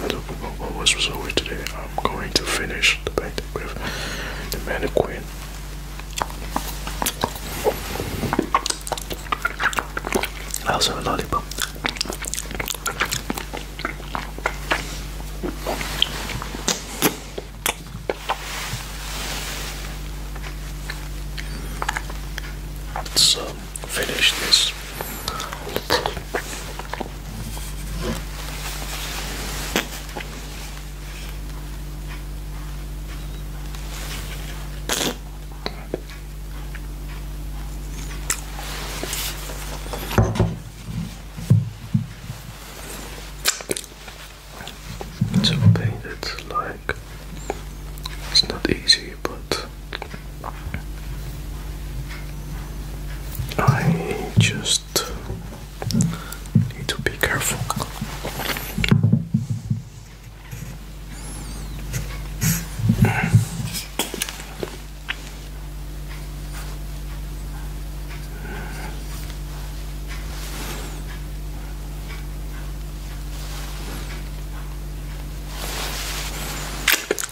what was resolved today. I'm going to finish the painting with the mannequin. I also have a lollipop. Let's um, finish this. It's a pain like it's not easy but I just need to be careful.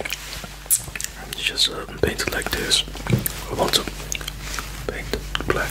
and just um, painted like this. I want to paint black.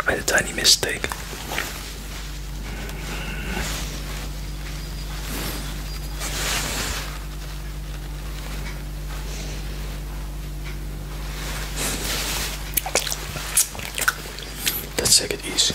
I made a tiny mistake. Let's take it easy.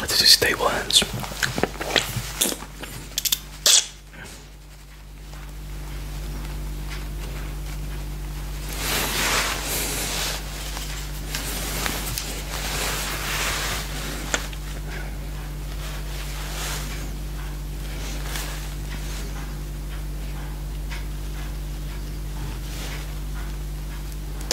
This is stable hands.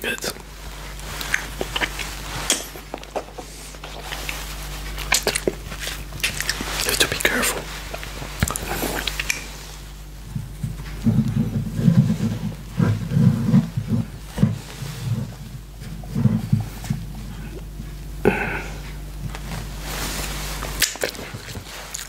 Good. have to be careful.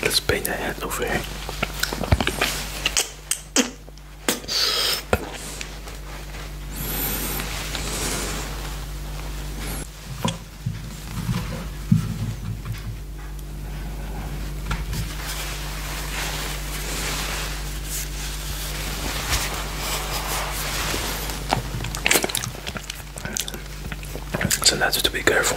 Let's paint that head over here. So that's to be careful.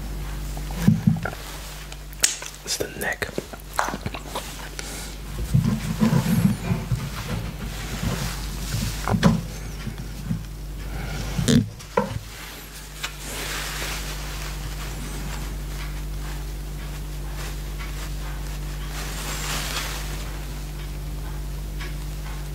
It's the neck.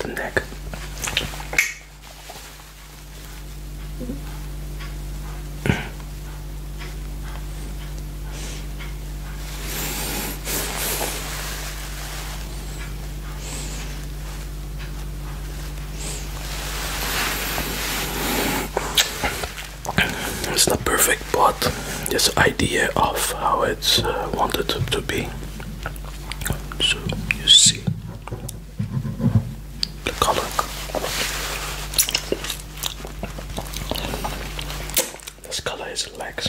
The neck it's not perfect, but this idea of how it's uh, wanted to be. So you see. Look, look. This color is legs.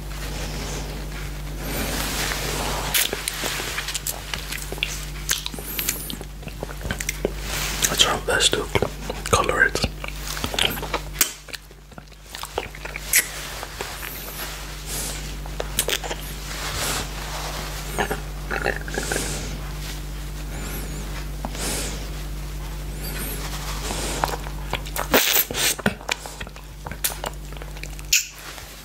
I try my best to color it.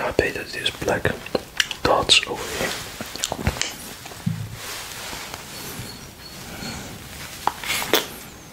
I painted these black dots over here.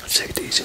Let's take it easy.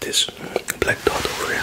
this black dot over here.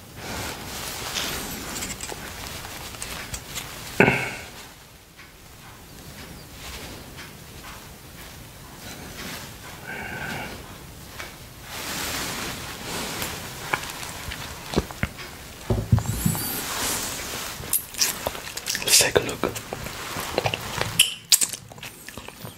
Let's take a look.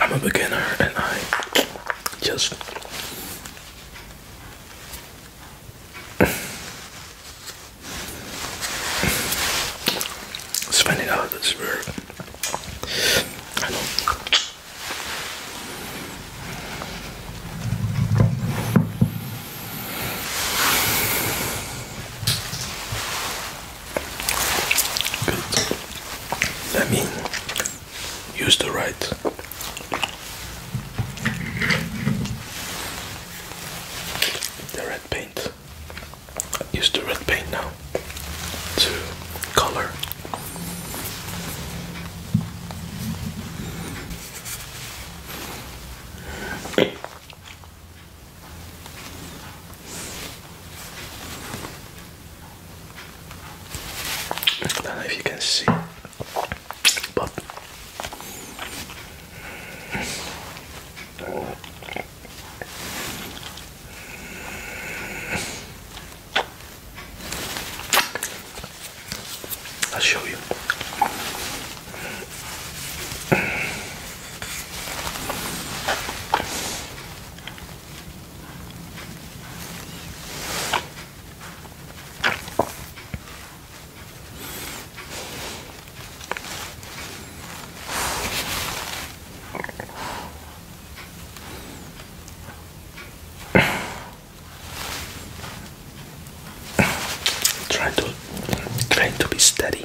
I'm a beginner and I just spending out I know Good. I mean use the right the red paint. I use the red paint now to color. I don't know if you can see I'll show you. Trying to try to be steady.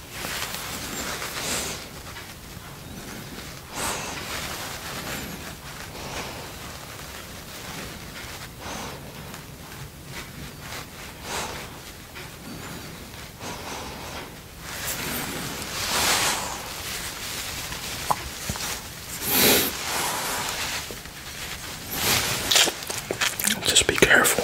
Just be careful.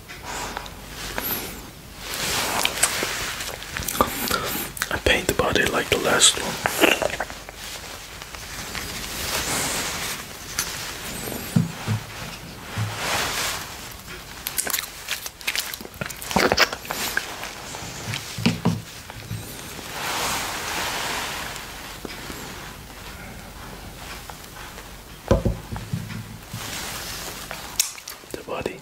I paint the body like the last one. The body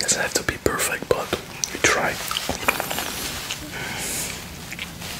Doesn't have to be perfect, but you try.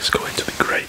It's going to be great.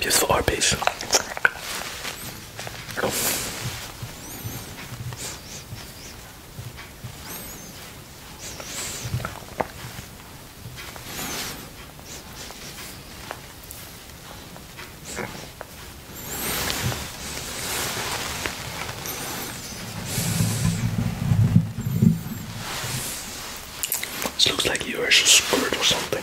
Beautiful art piece. This looks like you actually squirt or something.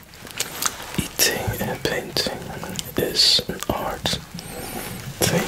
Eating and painting is an art thing.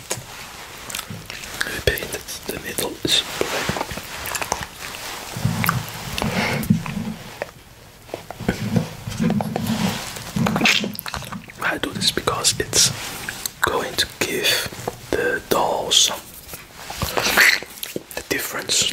I painted the middle I do this because it's going to give the doll some the difference.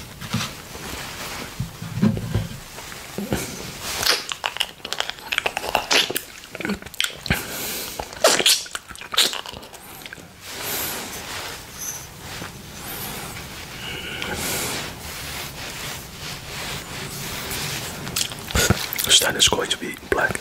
Stan is going to be black.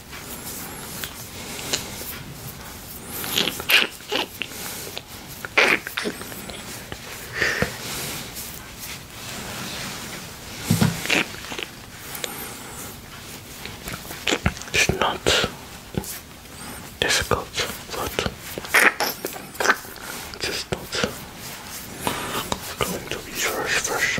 It's not difficult, but just not going to be very fresh.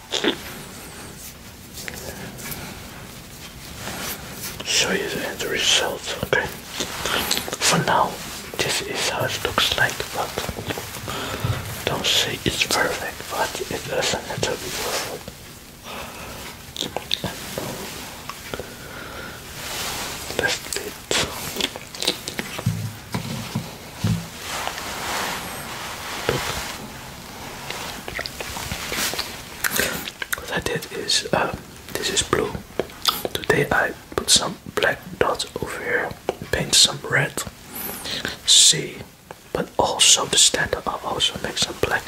show you the end results, okay? For now, this is how it looks like, but don't say it's perfect, but it doesn't have to be perfect. That's it. What I is um, this is blue. Today I put some black dots over here, paint some red. See, but also the standard. i also make some black.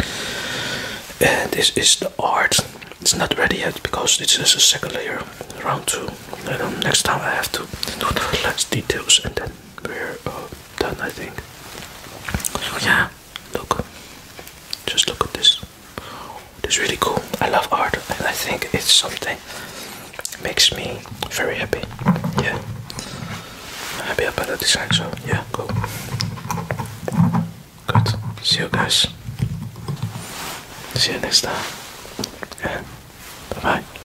And this is the art. It's not ready yet because this is a second layer, round two. And um, next time I have to do the last details and then we're done, I think. Oh, yeah, look, just look at this. It's really cool. I love art, and I think it's something that makes me very happy. Yeah, I'm happy about the design. So yeah, cool. Good. See you guys. See you next time. Yeah. bye.